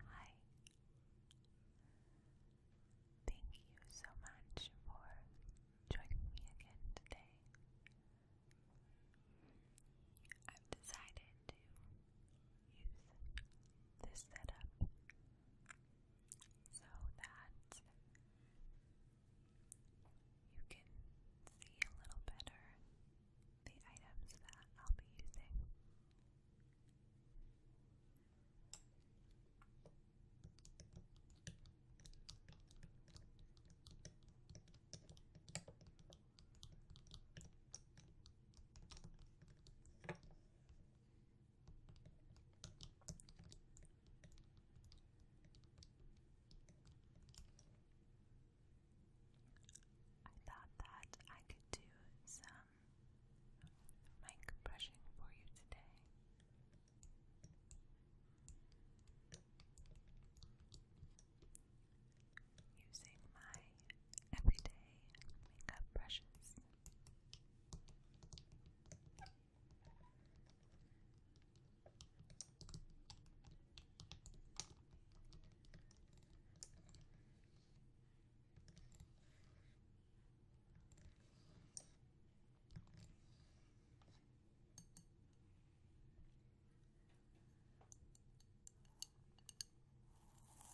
Hi. Thank you so much for joining me again today. I've decided to use this setup so that you can see a little better the items that I'll be using. I thought that I could do some mic brushing for you today using my everyday makeup brushes. This container is usually what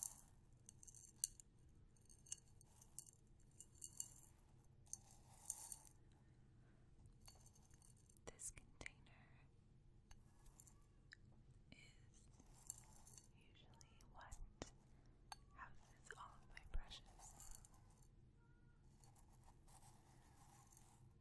houses all of my brushes.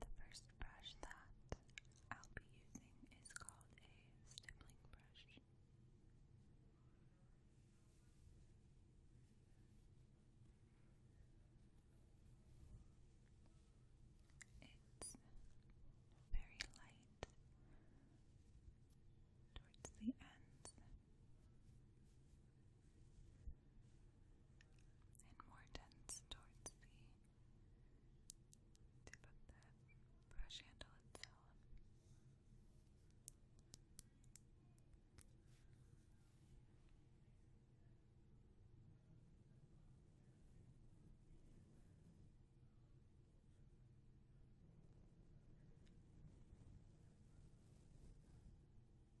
The first brush that I'll be using is called a stippling brush. It's very light towards the ends and more dense towards the tip of the brush handle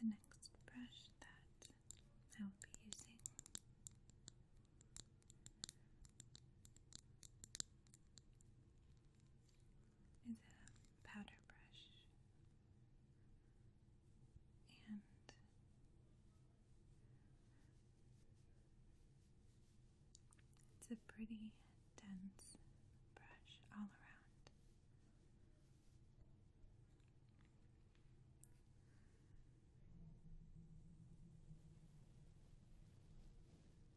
The next brush that I will be using is a powder brush and it's a pretty dense brush all around.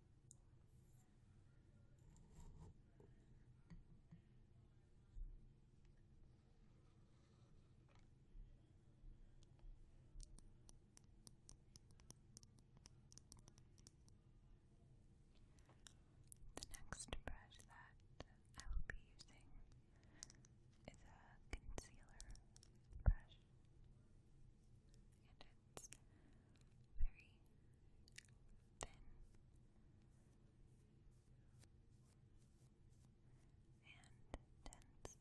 The next brush that I will be using is a concealer brush, and it's very thin and dense.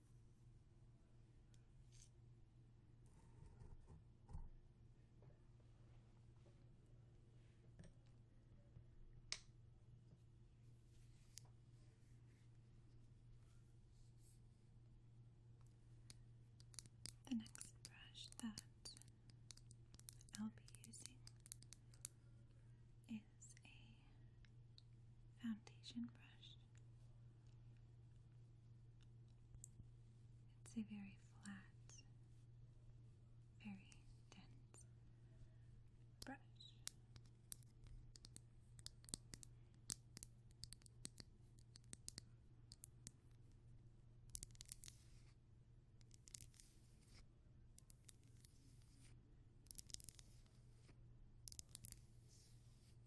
The next brush that I'll be using is a foundation brush. It's a very flat, very dense brush.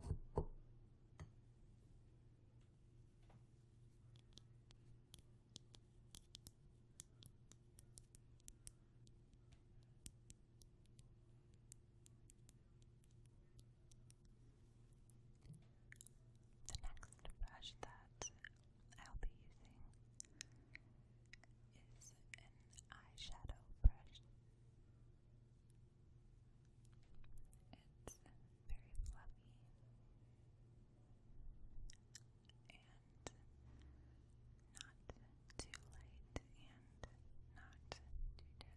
The next brush that I'll be using is an eyeshadow brush. It's very fluffy and not too light and not too dense.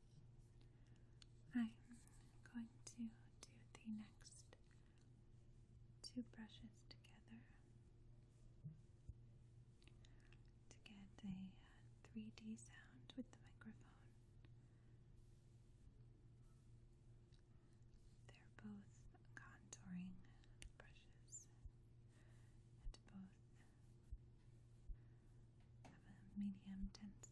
I'm going to do the next two brushes together to get a 3D uh, sound with the microphone. They're both contouring brushes and both have a medium density.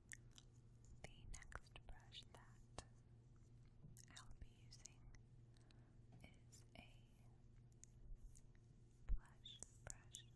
The next brush that I'll be using is a blush brush. It's very, very light and very fluffy.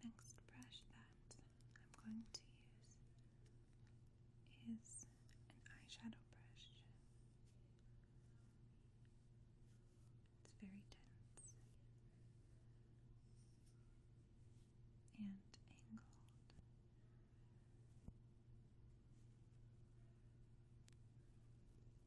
The next brush that I'm going to use is an eyeshadow brush. It's very dense and angled.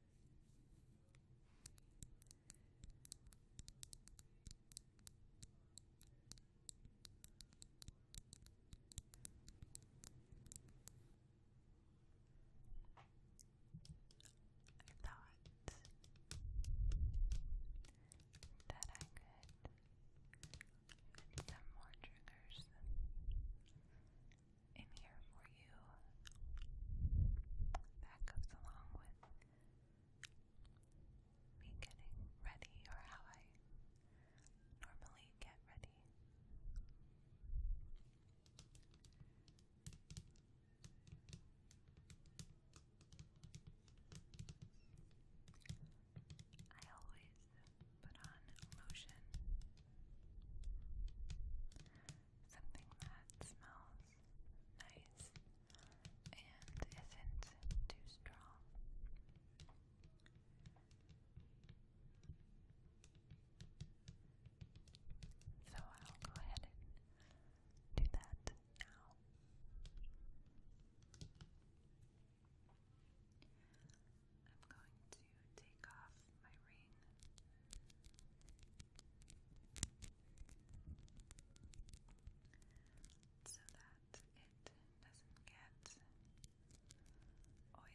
I thought that I could get some more triggers in here for you. That goes along with me getting ready or how I normally get ready. I always put on lotion something that smells nice and isn't too strong. So I'll go ahead and do that now. I'm going to to take off my ring. So that it doesn't get oily.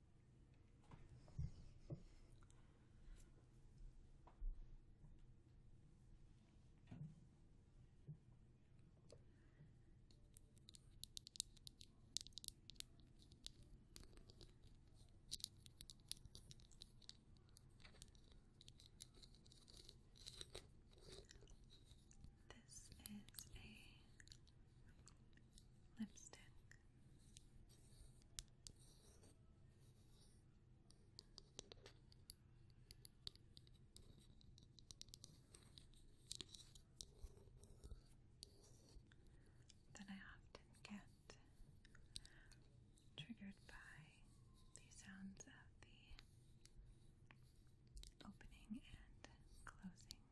This is a lipstick that I often get triggered by the sounds of the opening and closing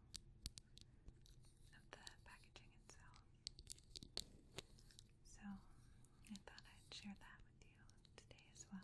of the packaging itself. So I thought I'd share that with you today as well.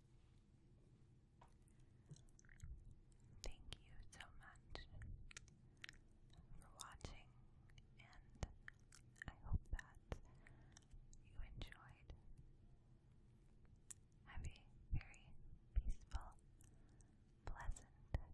Thank you so much for watching, and I hope that you enjoyed. Have a very peaceful, pleasant day.